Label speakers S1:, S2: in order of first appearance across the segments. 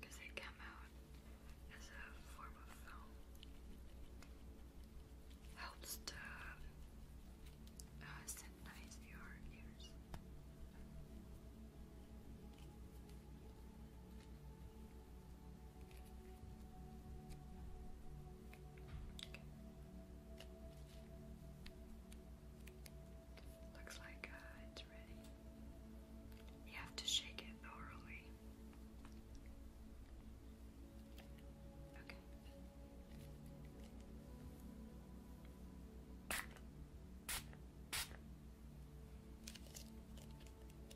S1: Because it came out as a form of film. Helps to uh, synchronize your ears. Looks like uh, it's ready. You have to shake it thoroughly. Okay.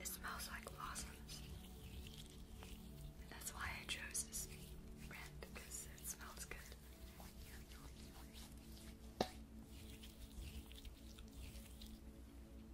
S1: It smells like blossoms. that's why I chose this brand because it smells good.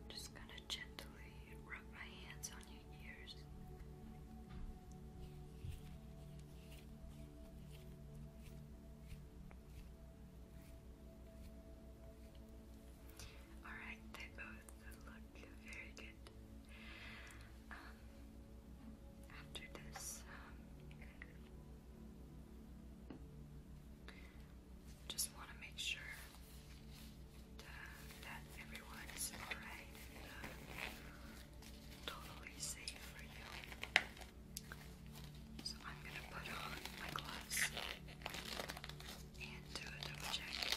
S1: I'm just gonna gently rub my hands on your ears. Alright, they both look very good. Um, after this. Um, just want to make sure that, everyone is alright and uh, totally safe for you. So I'm gonna put on my gloves and do a double check.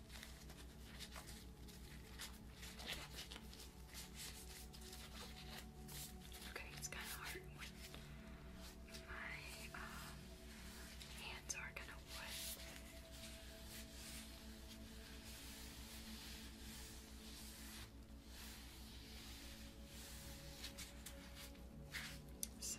S1: Okay, it's kind of hard my um, hands are kind of wet. So,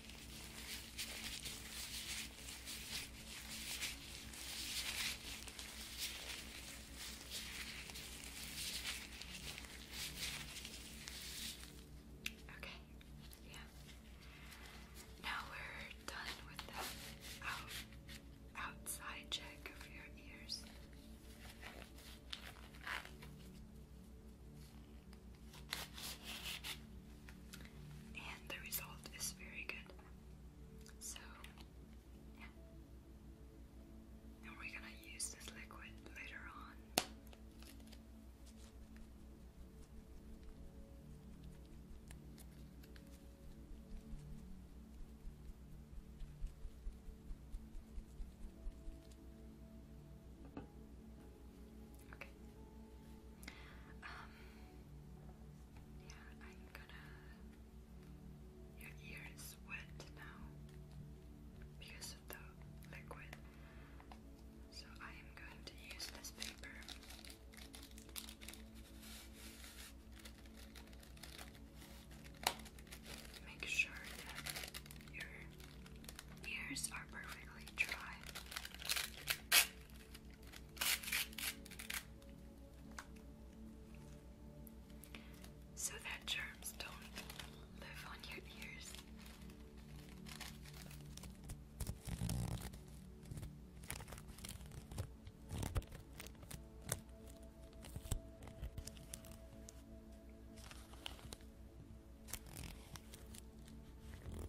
S1: Okay, yeah. Now we're done with the out, outside check of your ears. And the result is very good. So, And we're gonna use this liquid later on. Okay. Um. Yeah, I'm gonna. Your ear is wet now because of the liquid. So I am going to use this paper. Make sure that your ears are perfectly dry so that germs don't live on your ears. The other ear. Okay.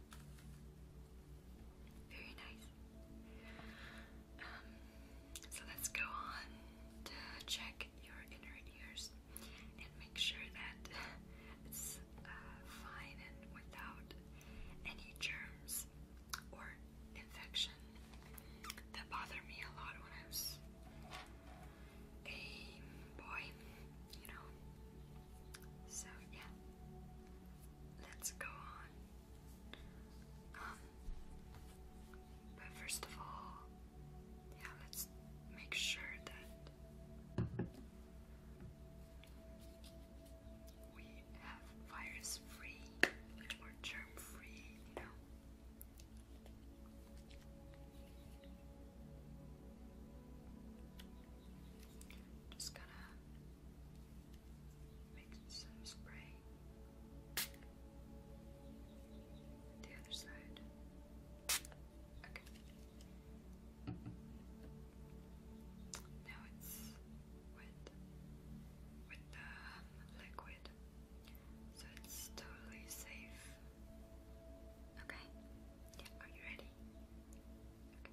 S1: Very nice. Um, so let's go on to check your inner ears and make sure that it's uh, fine and without any germs or infection that bothered me a lot when I was a boy you know. So yeah, let's go on. Um, but first of all, yeah, let's make sure that we have virus free or germ free, you know. Just gonna make some spray. The other side. Okay. Now it's wet with the um, liquid, so it's totally safe. Okay. Are you ready? Okay.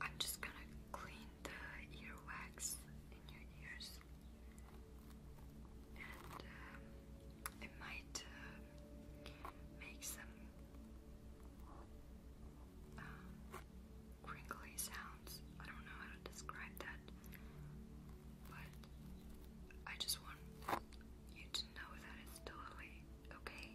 S1: I'm just gonna clean the earwax in your ears, and um, it might uh, make some um, crinkly sounds. I don't know how to describe that, but I just want you to know that it's totally okay.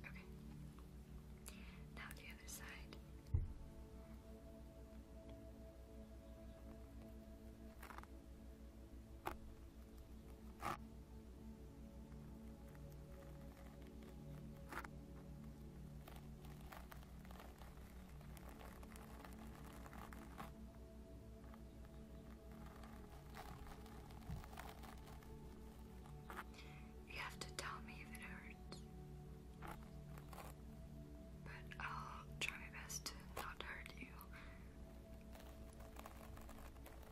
S1: Okay. Now the other side. You have to tell me if it hurts. But I'll try my best to not hurt you.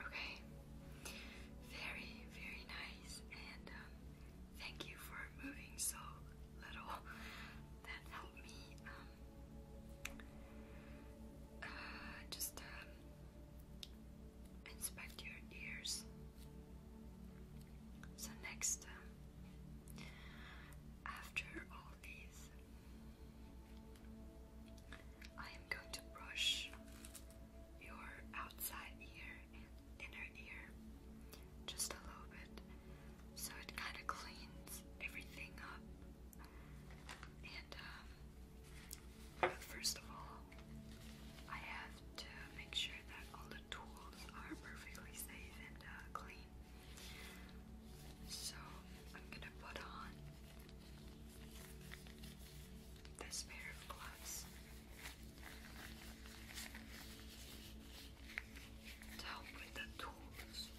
S1: Okay. Very, very nice. And um, thank you for moving so little. That helped me um, uh, just um, inspect your ears. So, next, after all these, I am going to brush your outside ear and inner ear just a little bit so it kind of cleans everything up. And um, first of all, I have to make sure that all the tools are perfectly safe and uh, clean. So I'm gonna put on this pair of gloves help with the tools.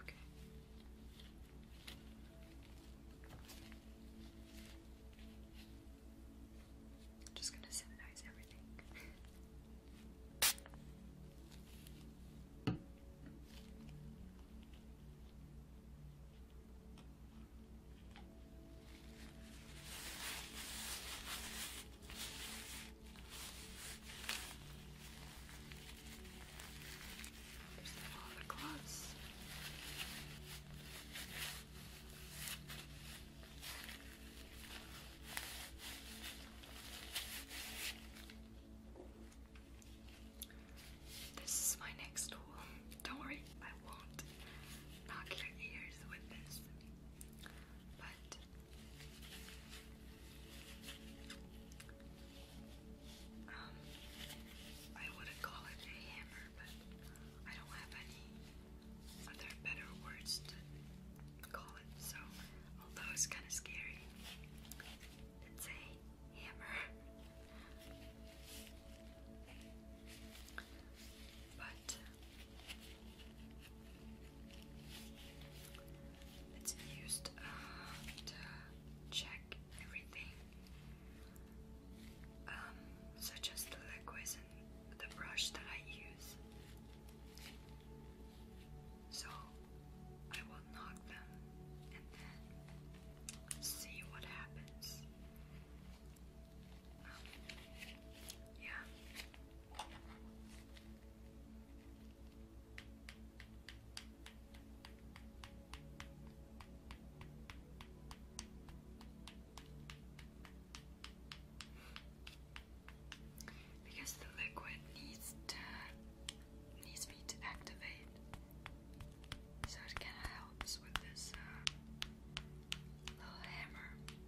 S1: Okay. i just going to sanitize everything. There's the Father This is my next tool. Don't worry, I won't knock your ears with this. But um, I wouldn't call it a hammer, but I don't have any other better words to call it, so although it's kinda scary, it's a hammer. But it's used uh, to check everything, um, such as the liquids and the brush that I use. So I will knock them and then see what happens. Yeah. Because the liquid needs to needs me to activate, so it kind of helps with this uh, little hammer.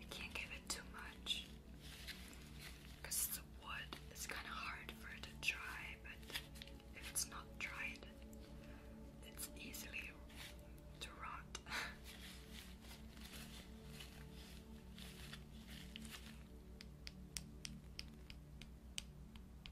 S1: You can't give it too much because the wood is kind of hard for it to dry, but if it's not dried, it's easily to rot.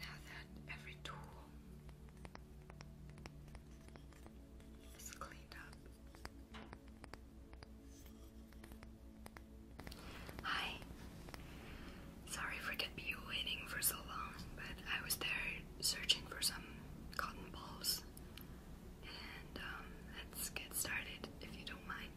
S1: now that every tool is cleaned up, Hi. Sorry for kept you waiting for so long, but I was there searching for some cotton balls. And um, let's get started if you don't mind.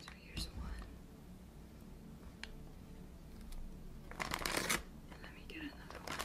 S1: So here's one. And let me get another one.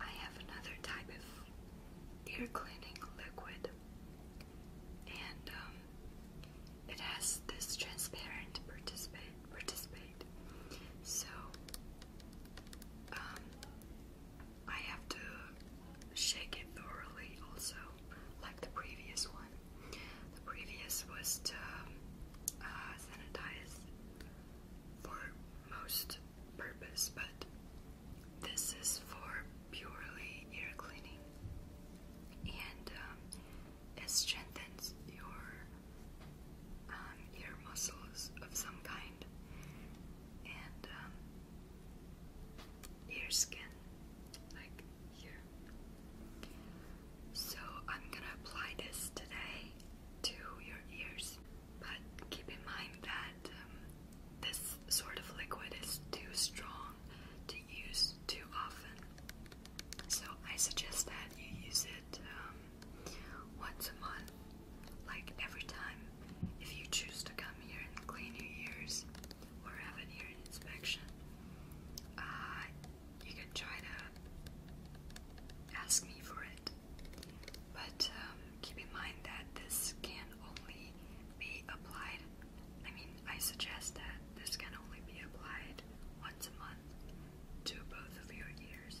S1: I have another type of ear cleaning liquid, and um, it has this transparent participate. Participate. So um, I have to shake it thoroughly, also, like the previous one. The previous was to um, uh, sanitize for most purpose, but this is for purely ear cleaning and um, it strengthens your um, ear muscles of some kind and um, ear skin, like here. So I'm gonna apply this today to your ears. But keep in mind that um, this sort of liquid is too strong to use too often. So I suggest that you use it um, once a month, like every time if you choose to come here and clean your ears or have an ear inspection. Uh, you can try to ask me for it. But um, keep in mind that this can only be applied. I mean, I suggest that this can only be applied once a month to both of your ears.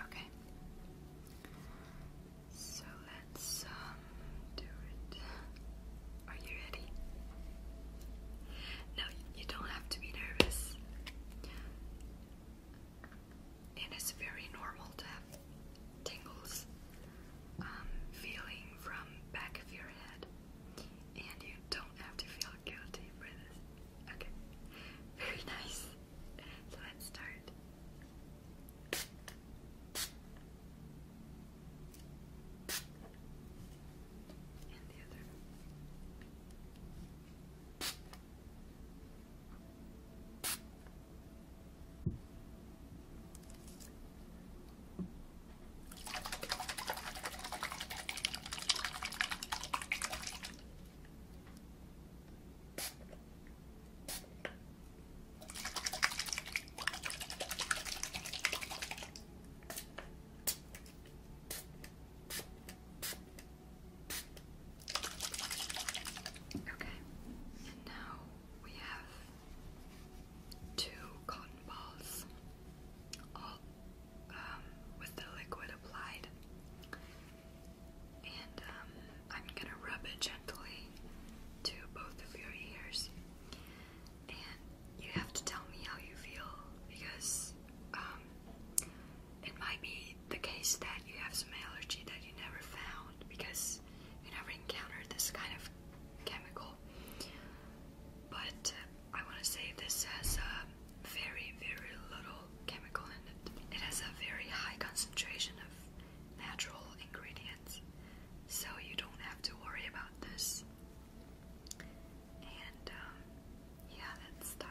S1: Okay. So let's um, do it. Are you ready? No, you don't have to be nervous. And it's very normal to have tingles um, feeling from back of your head. And you don't have to feel guilty for this. Okay, very nice. So let's start. And the other. Okay, and now we have two cotton balls, all um, with the liquid applied. And um, I'm gonna rub it gently to both of your ears. And you have to tell me how you feel because um, it might be the case that you have some allergy that you never found because you never encountered this kind of chemical. But uh, I want to say this has uh, very, very little it. has a very high concentration of natural ingredients, so you don't have to worry about this. And um, yeah, let's start.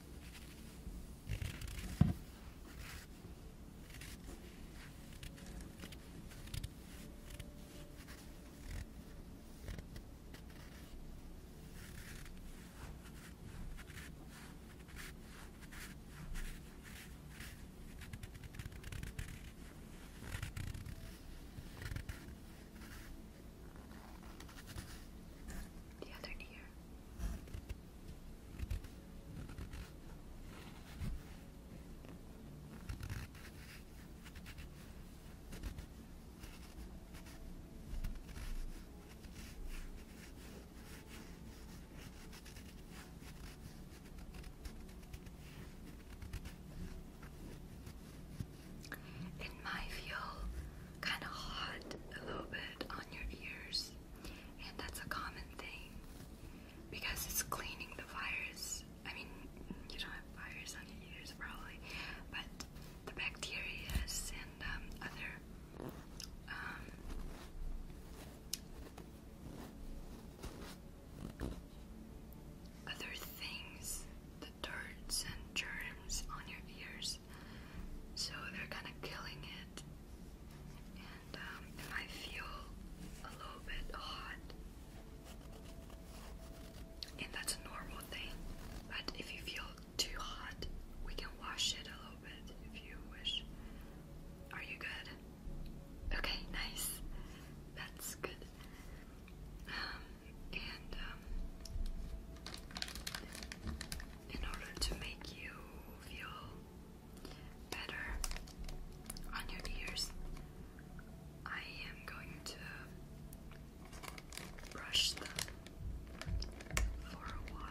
S1: The other ear. It might feel kind of hot a little bit on your ears and that's a common thing because it's cleaning the virus. I mean, you don't have viruses on your ears probably, but the bacteria and um, other um, other things, the dirt and germs on your ears so they're kind of killing it. Um, and I feel a little bit hot, and that's a normal thing. But if you feel too hot, we can wash it a little bit if you wish. Are you good? Okay, nice. That's good. Um, and um, in order to make you feel better on your ears, I am going to brush them for a while.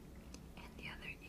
S1: and the other ear.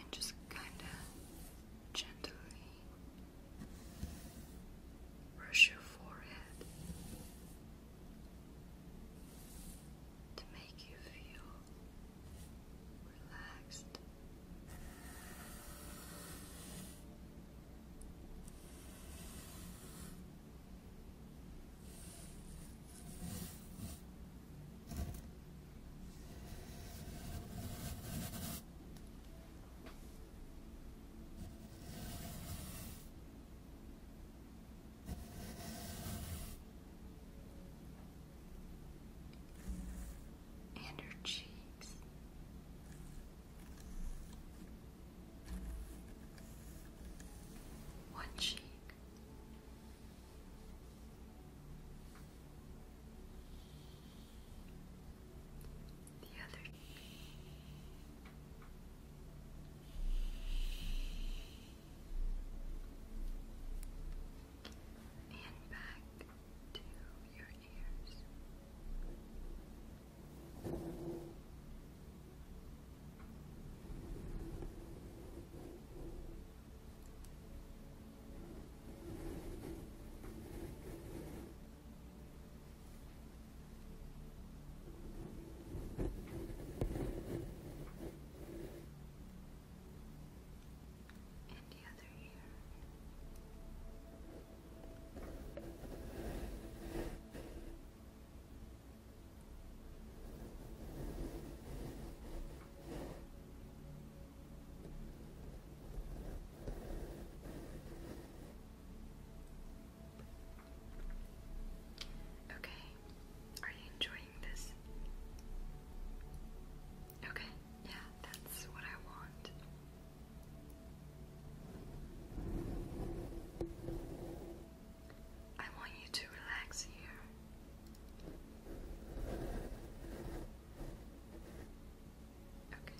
S1: And just kind of gently Brush your forehead to make you feel relaxed and her cheeks. One cheek the other and back to your ears. And the other ear. Good. Okay, are you enjoying this? Okay, yeah, that's what I want. I want you to relax here. Okay.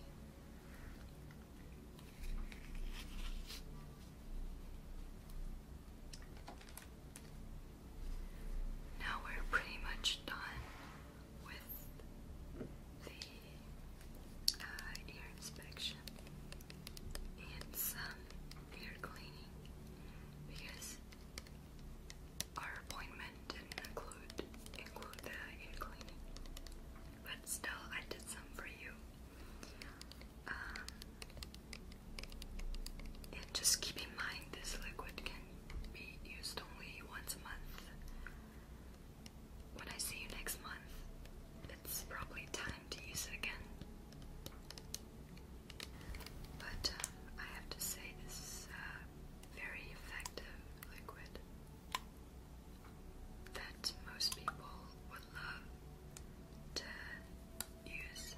S1: Now we're pretty much done with the uh, ear inspection and some ear cleaning because our appointment didn't include include the ear cleaning but still I did some for you. Um, and just keep in mind this liquid can be used only once a month. When I see you next month, it's probably time to use it again. But um, I have to say, this is a very effective liquid that most people would love to use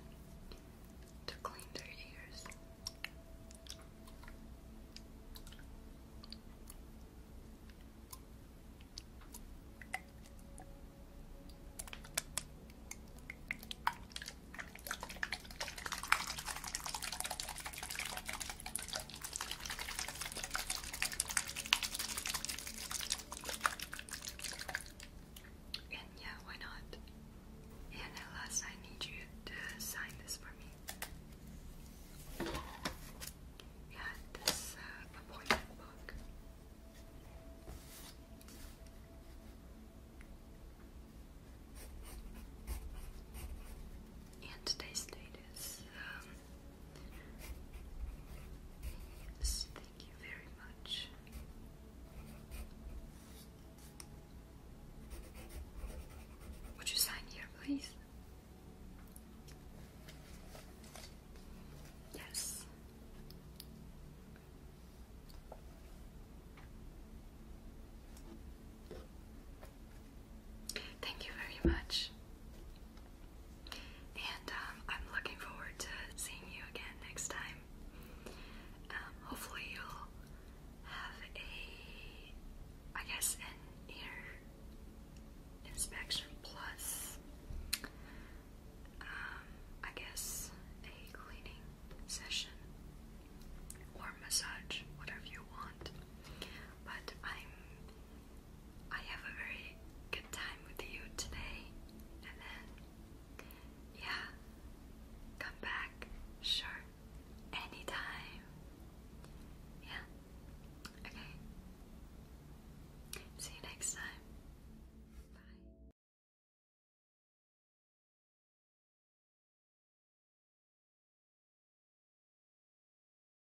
S1: to clean their ears. And yeah, why not? And last, I need you to sign this for me. Yeah, this uh, appointment book. And today's date is um, thank you very much. Would you sign here, please? Yes. Thank you very much. And um, I'm looking forward to seeing you again next time. Um, hopefully, you'll have a, I guess, an ear inspection plus, um, I guess, a cleaning session or massage, whatever you want. But I'm I have a very good time with you today, and then, yeah, come back, sure, anytime. Yeah, okay. See you next time. Bye.